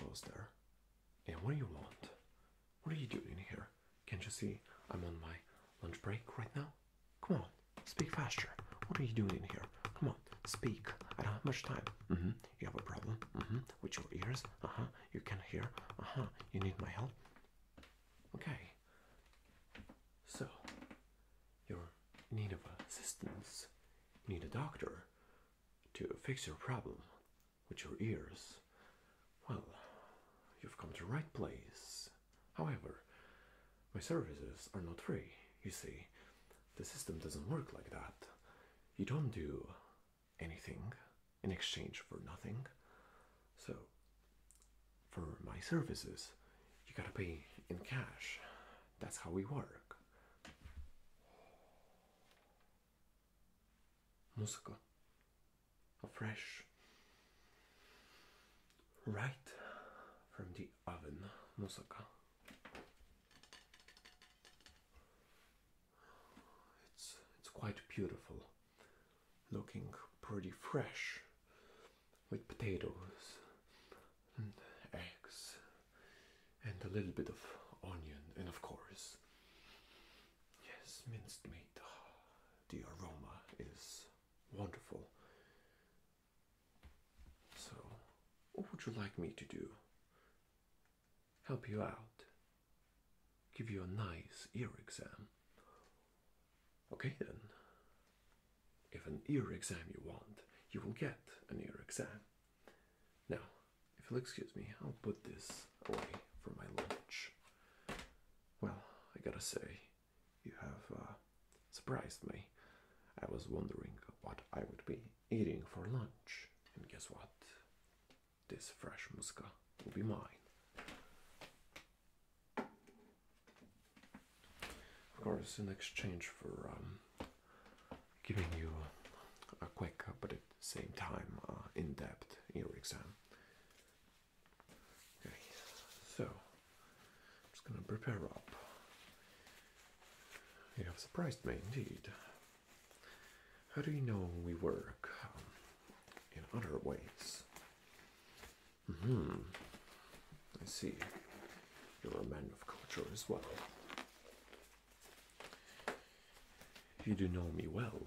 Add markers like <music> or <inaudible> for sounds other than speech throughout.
Almost there. And what do you want? What are you doing here? Can't you see I'm on my lunch break right now? Come on, speak faster. What are you doing in here? Come on, speak. I don't have much time. Mm-hmm. You have a problem? Mm-hmm. With your ears? Uh-huh. You can hear? Uh-huh. You need my help? Okay. So, you're need of assistance, need a doctor to fix your problem with your ears, well, you've come to the right place. However, my services are not free, you see. The system doesn't work like that. You don't do anything in exchange for nothing. So, for my services, you gotta pay in cash. That's how we work. Musical. Fresh. Right from the oven. Musical. It's it's quite beautiful. Looking pretty fresh with potatoes and eggs and a little bit of onion and of course yes minced meat <sighs> the aroma is wonderful so what would you like me to do help you out give you a nice ear exam okay then if an ear exam you want, you will get an ear exam. Now, if you'll excuse me, I'll put this away for my lunch. Well, I gotta say, you have uh, surprised me. I was wondering what I would be eating for lunch, and guess what? This fresh muska will be mine. Of course, in exchange for um, giving you a quick but at the same time uh, in depth ear exam. Okay, so I'm just gonna prepare up. You have surprised me indeed. How do you know we work um, in other ways? -hmm. I see. You're a man of culture as well. You do know me well.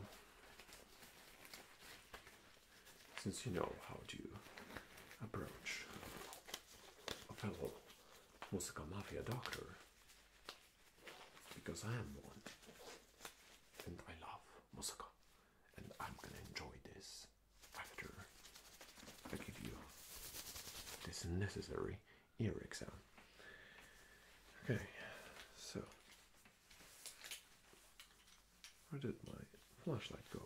Since you know how to approach a fellow musical mafia doctor, because I am one and I love Musaka and I'm gonna enjoy this after I give you this necessary ear exam. Okay, so where did my flashlight go?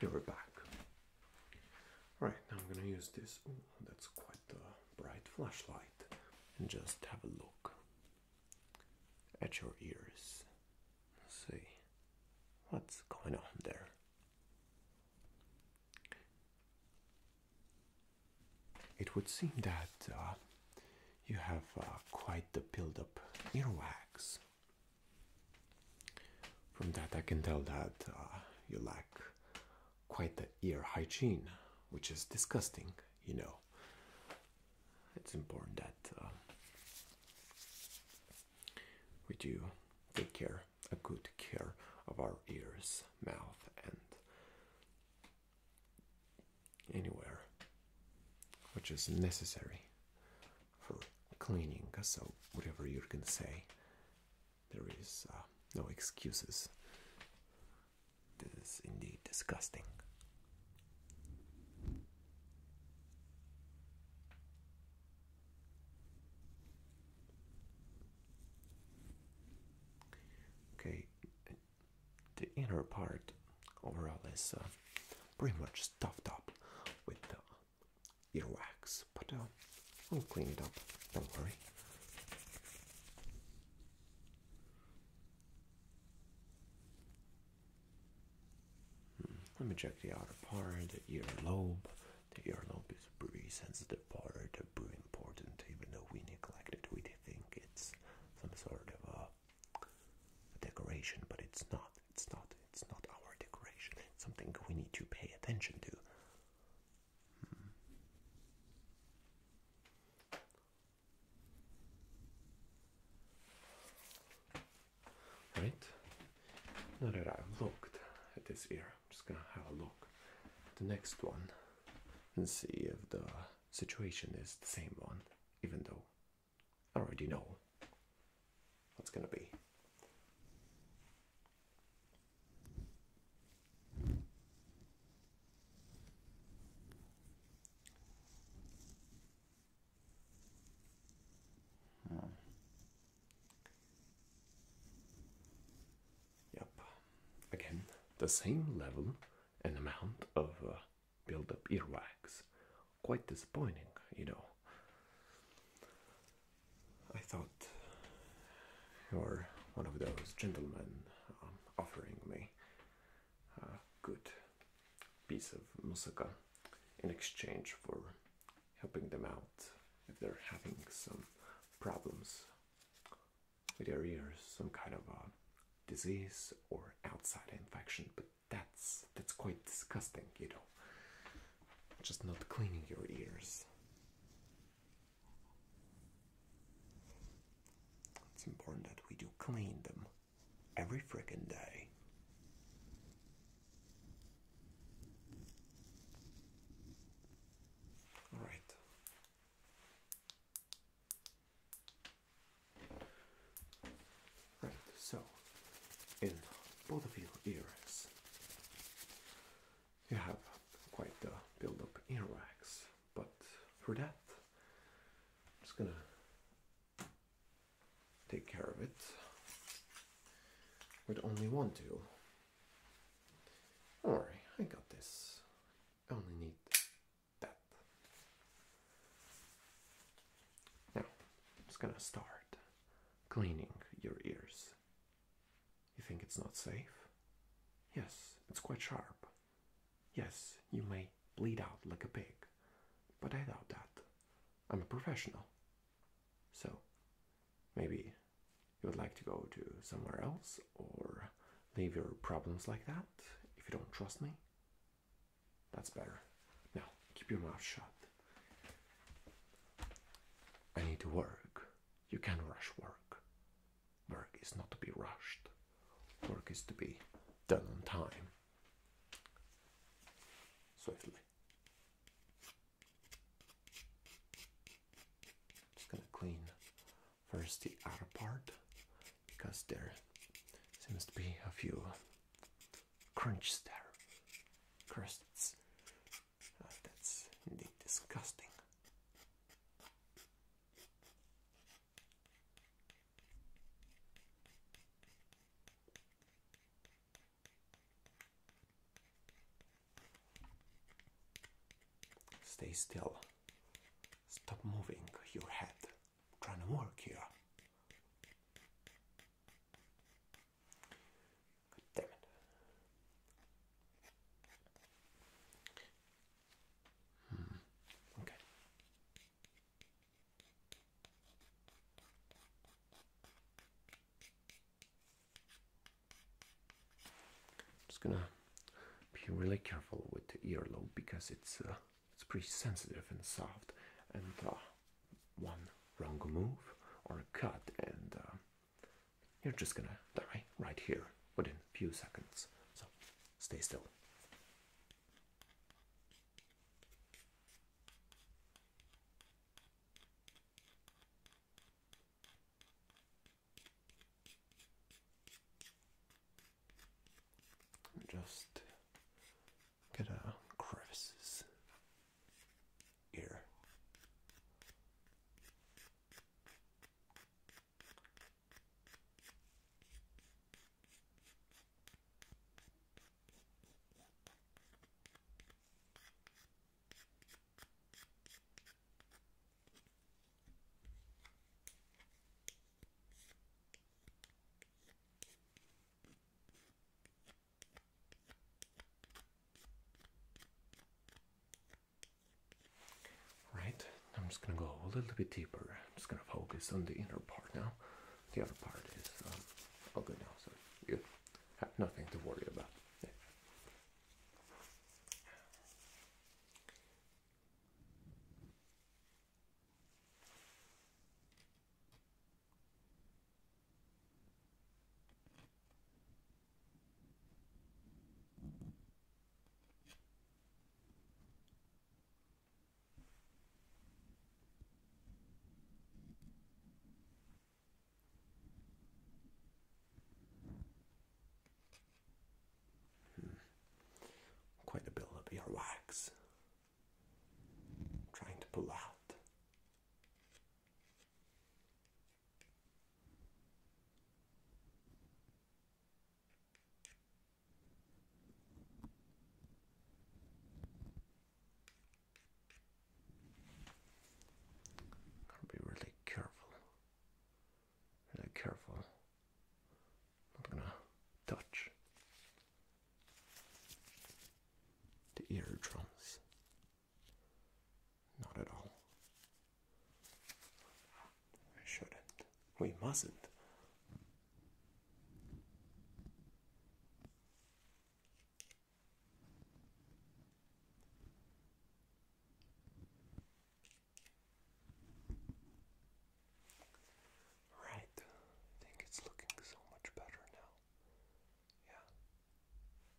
Here we're back. All right, now I'm gonna use this. Ooh, that's quite a bright flashlight, and just have a look at your ears. see what's going on there. It would seem that uh, you have uh, quite the build-up earwax. From that, I can tell that uh, you lack quite the ear hygiene, which is disgusting. You know, it's important that we do take care, a good care of our ears, mouth, and anywhere which is necessary for cleaning. So, whatever you're gonna say, there is uh, no excuses. This is indeed disgusting. Okay, the inner part overall is uh, pretty much stuffed up with the earwax, but uh, we'll clean it up, don't worry. Hmm. Let me check the outer part, the earlobe. The earlobe is a pretty sensitive part, Very important, even though we neglect it. We think it's some sort of a, decoration, but it's not. It's not. It's not our decoration. something we need to pay attention to. Hmm right? Now that I've looked at this ear, I'm just gonna have a look at the next one and see if the situation is the same one, even though I already know what's gonna be. Yep. Again, the same level and amount of uh, build-up earwax. Quite disappointing, you know. I thought you're one of those gentlemen um, offering me a good piece of musaka in exchange for helping them out if they're having some problems with their ears, some kind of a disease or outside infection. But that's that's quite disgusting, you know. Just not cleaning your ears. It's important that we do clean them every frickin' day. All right. Right, so in both of your ears, you have quite the build up earwax, but for that, I'm just gonna take care of it Would only want to. Don't worry, I got this. I only need that. Now, I'm just gonna start cleaning your ears. You think it's not safe? Yes, it's quite sharp. Yes, you may bleed out like a pig, but I doubt that. I'm a professional. So maybe you would like to go to somewhere else or leave your problems like that if you don't trust me. That's better. Now, keep your mouth shut. I need to work. You can't rush work. Work is not to be rushed. Work is to be done on time swiftly. Just gonna clean first the other part because there seems to be a few crunches there, crusts. Ah, that's disgusting. Stay still. Stop moving your head. trying to work here. damn it. Hmm. Okay. I'm Just gonna be really careful with the earlobe because it's uh, it's pretty sensitive and soft, and uh, one wrong move or a cut, and uh, you're just gonna die right here within a few seconds. So stay still. Just get a crevices here. Right, I'm just gonna go a little bit deeper. I'm just gonna focus on the inner part now the other part is um, all good now, so you have nothing to worry about. Hmm. Quite a build up here, wax. trying to pull out. Gotta be really careful. Really careful. Not gonna touch the eardrums. Not at all. I shouldn't. We mustn't. Right, I think it's looking so much better now. Yeah.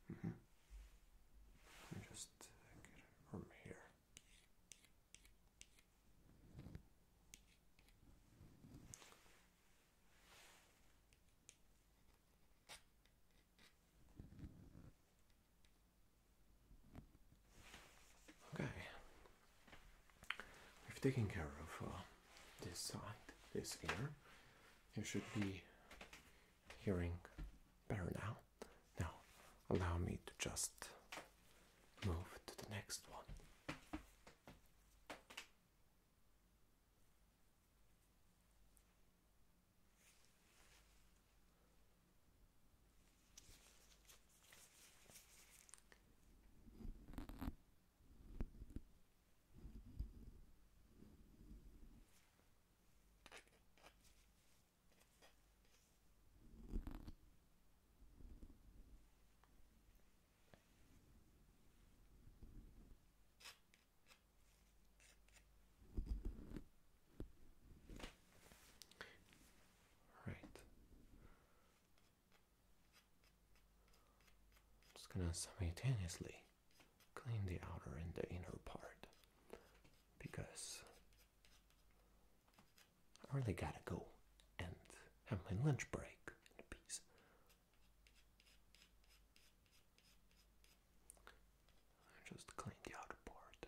Mm -hmm. Just uh, get it from here. Okay, we've taken care of uh, this side, this ear. You should be hearing better now. Now, allow me to just move to the next one. All just gonna simultaneously clean the outer and the inner part because I really gotta go and have my lunch break in I just clean the outer part.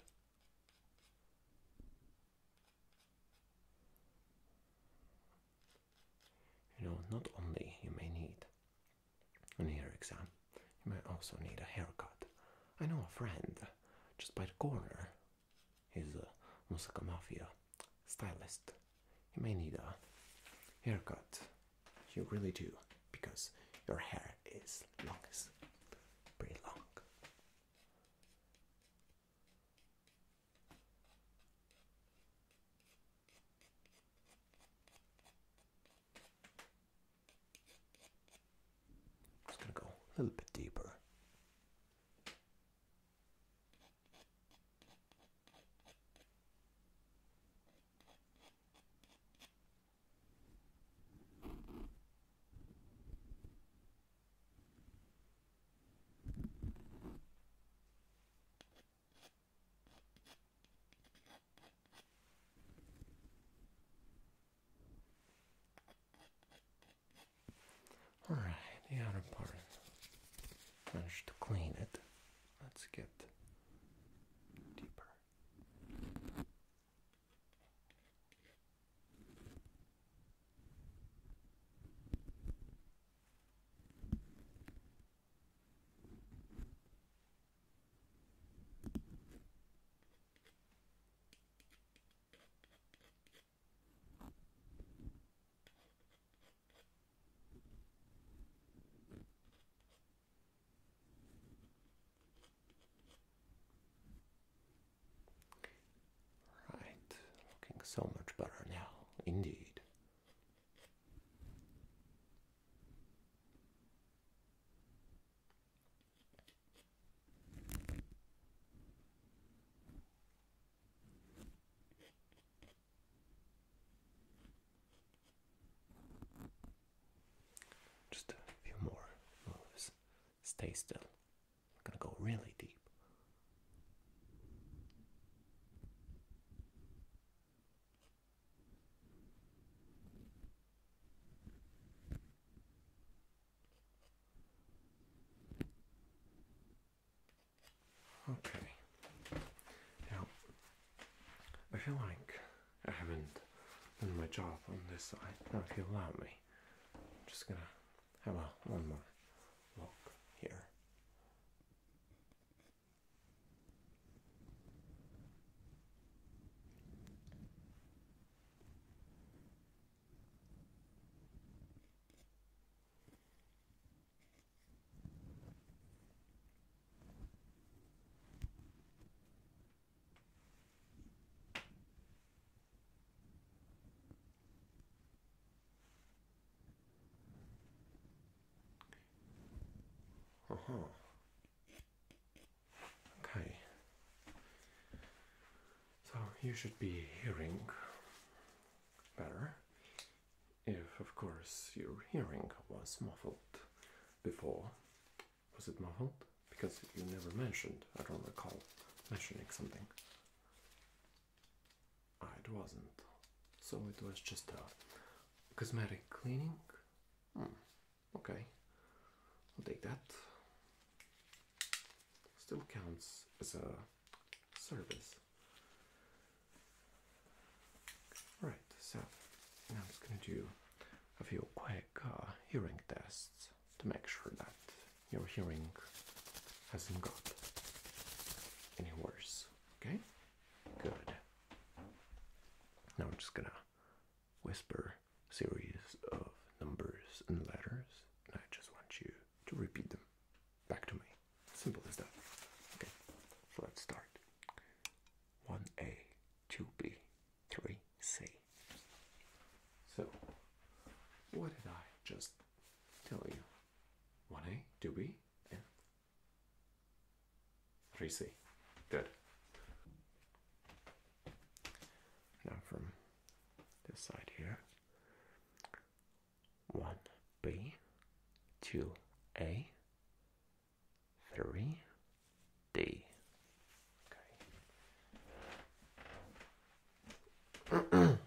You know, not only you may need an ear exam, you may also need a haircut. I know a friend just by the corner He's a Musaka Mafia stylist. You may need a haircut. You really do, because your hair is longest, pretty long. Just gonna go a little bit deeper. Alright, the outer part. Managed to clean it. Let's get deeper. Right, looking so much better now, indeed. Just a few more moves. Stay still. gonna go really deep. Okay. Now, I feel like I haven't done my job on this side. Now, if you allow me, I'm just gonna have a one more look here. Uh huh. Okay. So you should be hearing better if, of course, your hearing was muffled before. Was it muffled? Because you never mentioned, I don't recall mentioning something. Ah, it wasn't. So it was just a cosmetic cleaning? Hmm. Okay, I'll take that. Still counts as a service. Right, so now I'm just gonna do a few quick uh, hearing tests to make sure that your hearing hasn't got any worse. Okay? Good. Now I'm just gonna whisper series of numbers and letters, and I just want you to repeat them back to me. Simple as that. Okay, so let's start. 1A, 2B, 3C. So, what did I just tell you? 1A, 2B, and 3C. Good. Now from this side here, one B, two A, three D. Okay. <clears throat>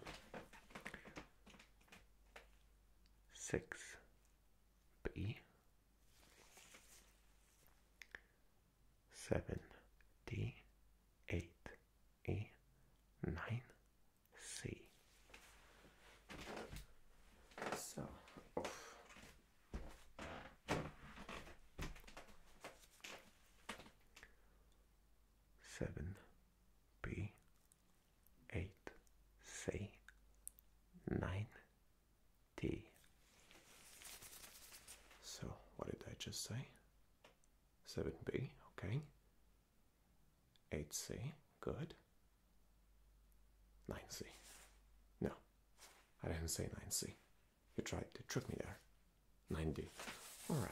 Six B seven D eight E nine C. So seven B eight C nine T. So, what did I just say? 7B, okay. 8C, good. 9C. No, I didn't say 9C. You tried to trick me there. 9D. Alright,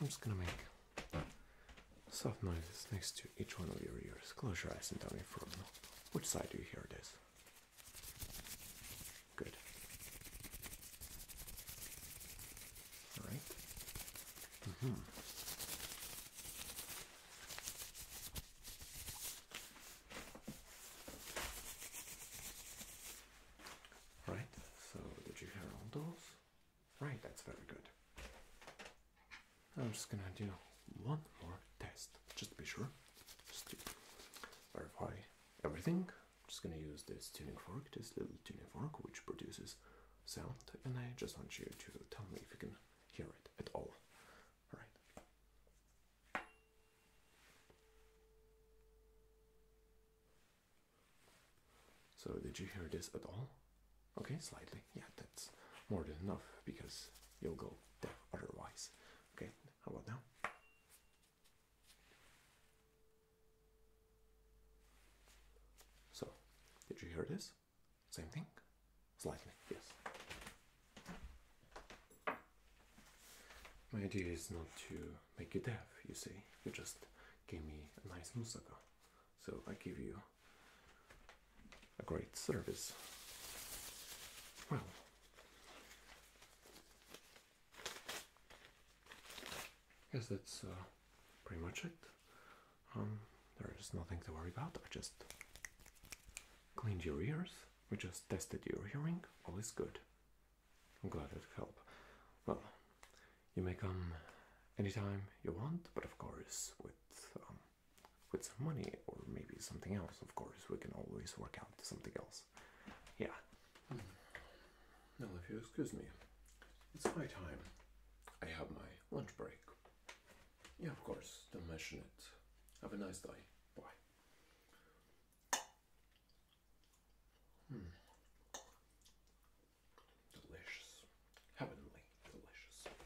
I'm just gonna make soft noises next to each one of your ears. Close your eyes and tell me from which side do you hear this? Good. All mm-hmm. right. so did you hear all those? Right, that's very good. I'm just gonna do one more test, just to be sure just to verify everything. I'm just gonna use this tuning fork, this little tuning fork, which produces sound, and I just want you to tell me if you can hear it at all. All right. So did you hear this at all? Okay, slightly. Yeah, that's more than enough because you'll go deaf otherwise. Okay. How about now? So, did you hear this? Same thing? Slightly, yes. My idea is not to make you deaf, you see. You just gave me a nice musaka. So I give you a great service. Well, yes, that's uh, pretty much it. Um, there is nothing to worry about. I just cleaned your ears. We just tested your hearing. All is good. I'm glad it helped. Well, you may come anytime you want, but of course with um, with some money or maybe something else. Of course, we can always work out something else. Yeah. Mm. if you excuse me, it's my time. I have my lunch break. Yeah, of course. Don't mention it. Have a nice day. Bye. Hmm. Delicious. Heavenly delicious.